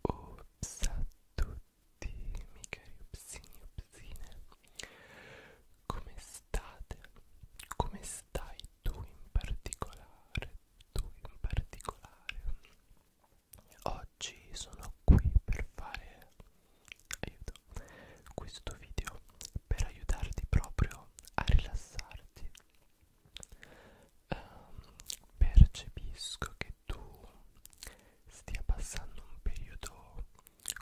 Ops a tutti, miei cari upsini upsine Come state? Come stai tu in particolare? Tu in particolare Oggi sono qui per fare aiuto questo video per aiutarti proprio a rilassarti um, percepisco che tu stia passando un periodo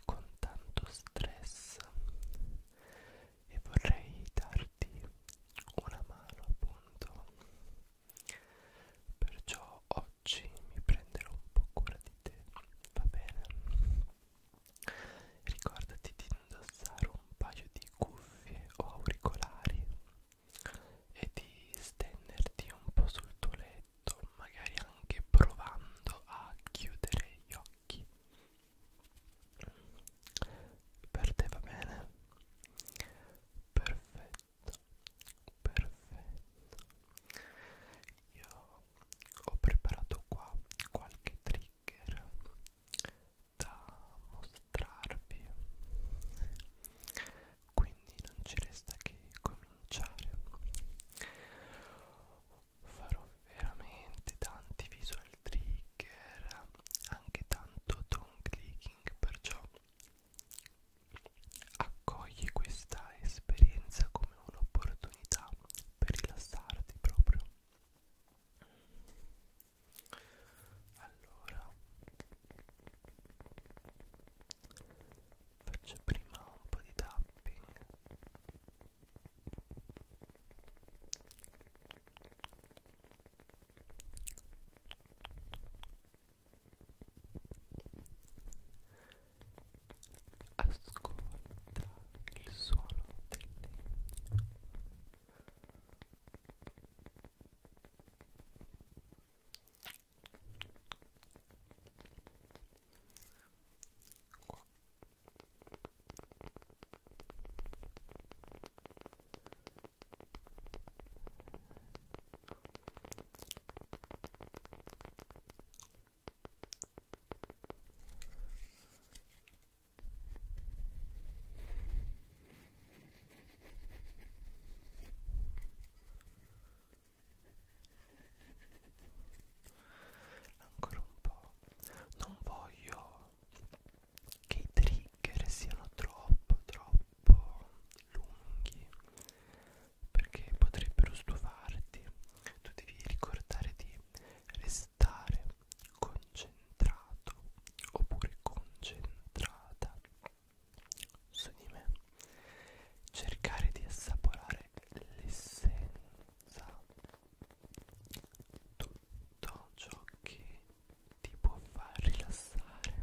con tanto stress e vorrei darti una mano appunto perciò oggi mi prenderò un po' cura di te va bene Ricordati di indossare un paio di cuffie o auricolari e di stenderti un po' sul tuo letto, magari anche provando a chiudere gli occhi. Per te va bene? Perfetto, perfetto. Io ho preparato qua qualche trigger da mostrarvi quindi non ci resta che cominciare farò veramente tanti visual trigger anche tanto tongue clicking perciò accogli questa esperienza come come un'opportunità per rilassarti proprio allora faccio prima un po' di tapping Ascolta il suono del legno. Qua. Ancora un po'. Non voglio che i trigger siano troppo, troppo lunghi perché potrebbero stufarti tu devi ricordare di restare concentrato oppure concentrata su di me cercare di assaporare l'essenza tutto ciò che ti può far rilassare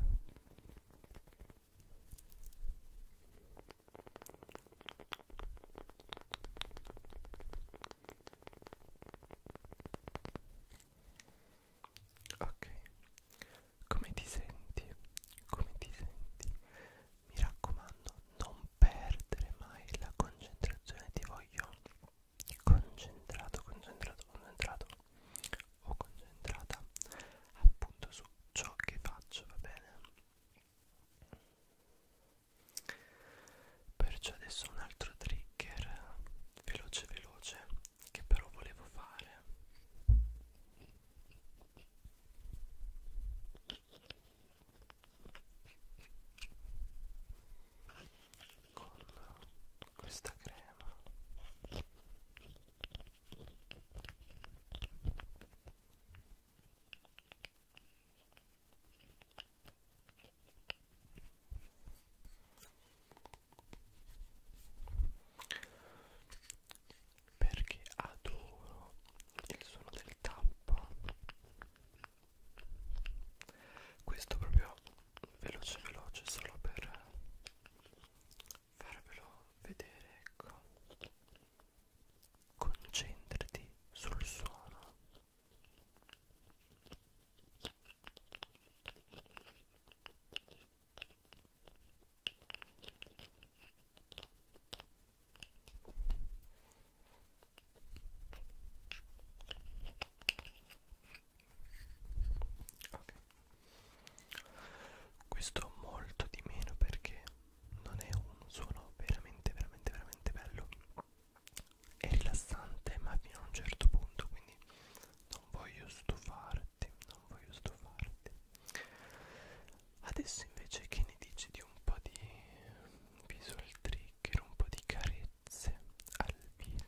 Ok, come ti senti? Come ti senti? Mi raccomando, non perdere mai la concentrazione, ti voglio concentrato, concentrato, concentrato o concentrata appunto su ciò che faccio, va bene? Perciò adesso un altro trigger veloce veloce che però volevo fare. Con questa crema perché adoro il suono del tappa questo proprio veloce veloce solo per farvelo vedere ecco concentrati sul suono ok questo molto di meno perché non è un suono veramente veramente veramente bello è rilassante ma fino a un certo punto quindi non voglio stufarti non voglio stufarti adesso invece che ne dici di un po' di visual trigger un po' di carezze al viso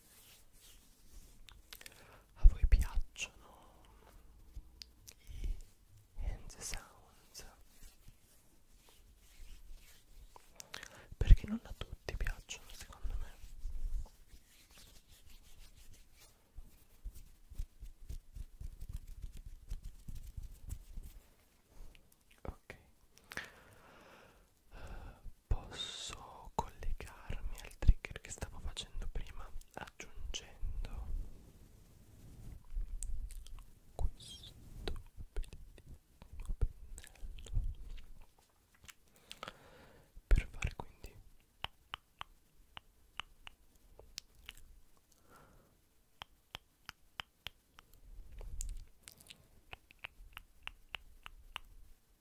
A voi piacciono i hand sounds? Perché non a tutti piacciono secondo me. Ok, posso collegarmi al trigger che stavo facendo prima aggiungendo questo bellissimo pennello per fare quindi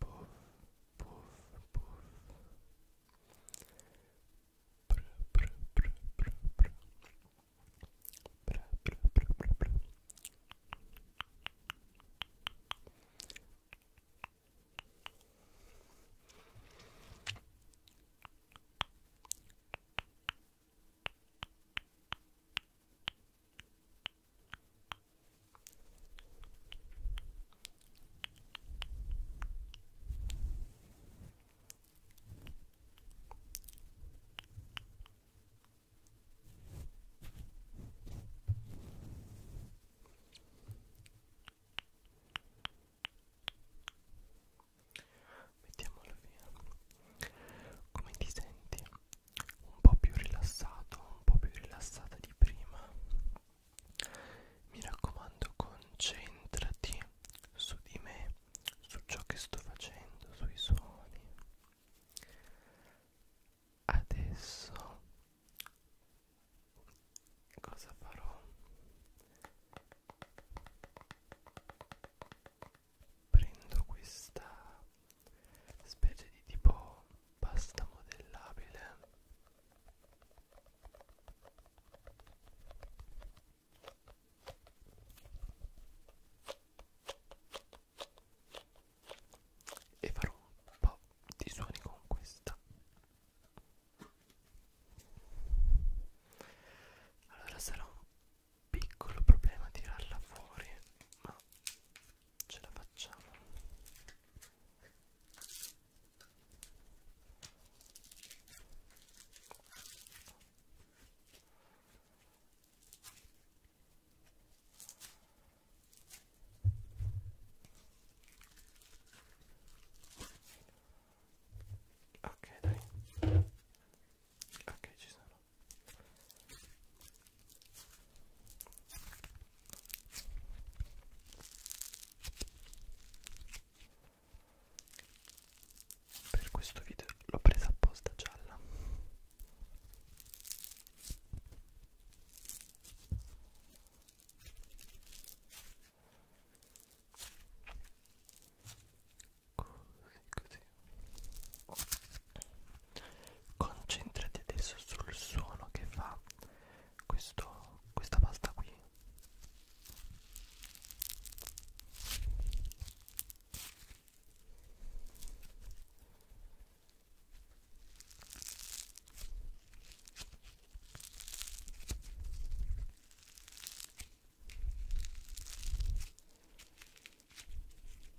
puff, puff, puff. Bra, bra, bra, bra, bra. Bra, bra, bra, bra, bra. Bra, Mettiamolo via. Come ti senti? Un po' più rilassato, un po' più rilassata di prima. Mi raccomando, concentrati su di me, su ciò che sto facendo, sui suoni. Adesso cosa farò? Prendo questa specie di tipo pasta modellabile e farò un po' di suoni con questa allora sarà un piccolo problema tirarla fuori ma ce la facciamo ok dai ok ci sono per questo video l'ho presa apposta gialla. Così, così. Concentrati adesso sul suono che fa questo, questa pasta qui. Ecco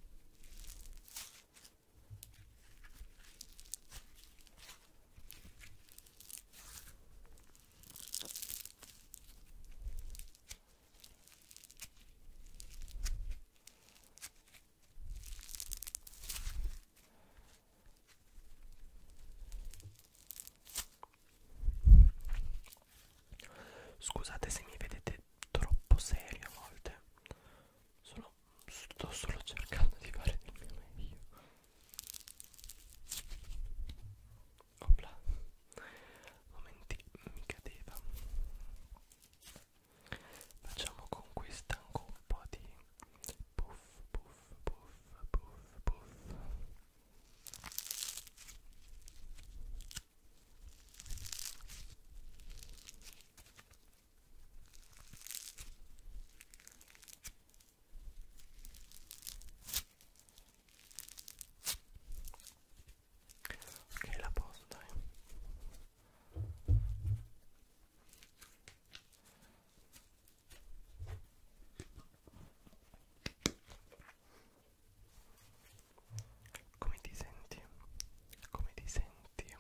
Scusate se mi vedete troppo serio a volte. Sono no, sto solo cercando di fare del mio meglio. Opla, momenti mi cadeva. Facciamo con questa anche un po' di puff, puff, puff, puff, puff. Ok, la posso dai. Come ti senti? Come ti senti?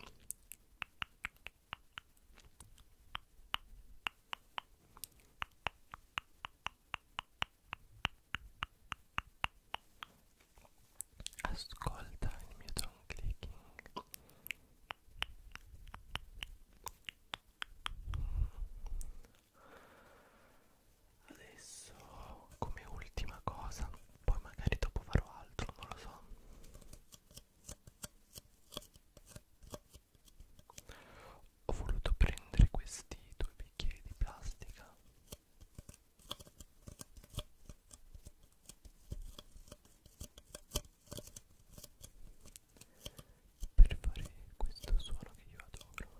Ascolta il mio tongue clicking. Adesso come ultima cosa poi magari dopo farò altro, non lo so. Ho voluto prendere questi due bicchieri di plastica per fare questo suono che io adoro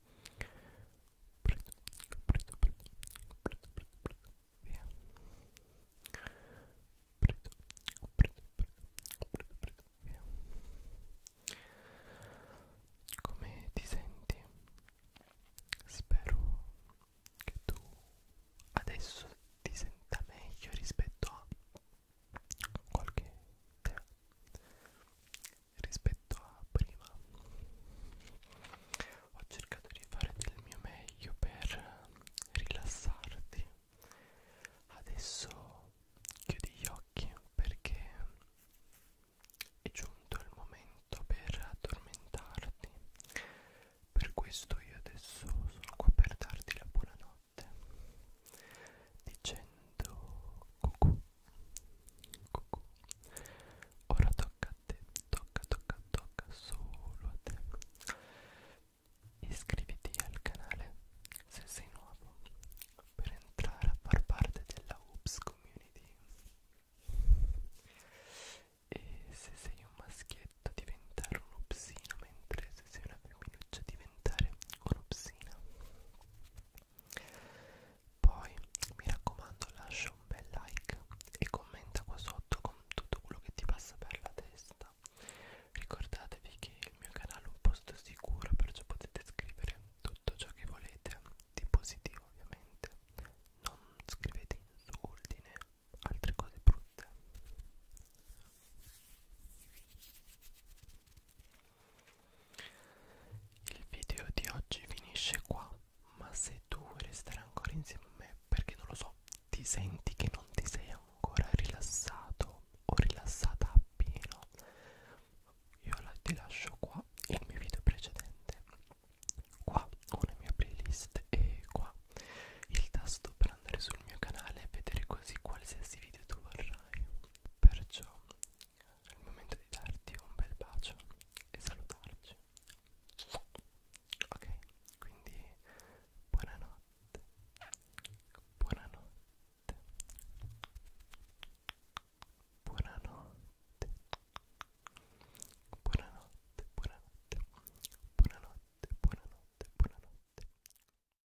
preto, preto, preto, preto, preto, preto, via preto, preto, preto, preto, preto, via come ti senti? spero che tu adesso ti senta meglio rispetto a qualche tempo rispetto a prima ho cercato di fare del mio meglio per rilassarti adesso chiudi gli occhi perché è giunto il momento per addormentarti per questo io adesso sono qua per darti la buonanotte notte dicendo cucù cucù ora tocca a te tocca tocca tocca solo a te iscriviti al canale se sei nuovo per entrare a far parte della Oops community e se sei un maschietto diventare un upsino mentre se sei una femminuccia diventare diventare un'opsina poi mi raccomando lascia un bel like e commenta qua sotto con tutto quello che ti passa per la testa ricordatevi che il mio canale è un posto sicuro perciò potete scrivere tutto ciò che volete di positivo ovviamente non scrivete insulti né altre cose brutte il video di oggi finisce qua, ma se tu vuoi restare ancora insieme a me, perché non lo so, ti senti che non ti sei ancora rilassato o rilassata appieno, io la, ti lascio qua il mio video precedente, qua una mia playlist e qua il tasto per andare sul mio canale e vedere così qualsiasi video tu vorrai. Perciò è il momento di darti un bel bacio e salutarci. Ok, quindi buonanotte. Buonanotte. Buonanotte. Buonanotte, buonanotte. Buonanotte, buonanotte, buonanotte.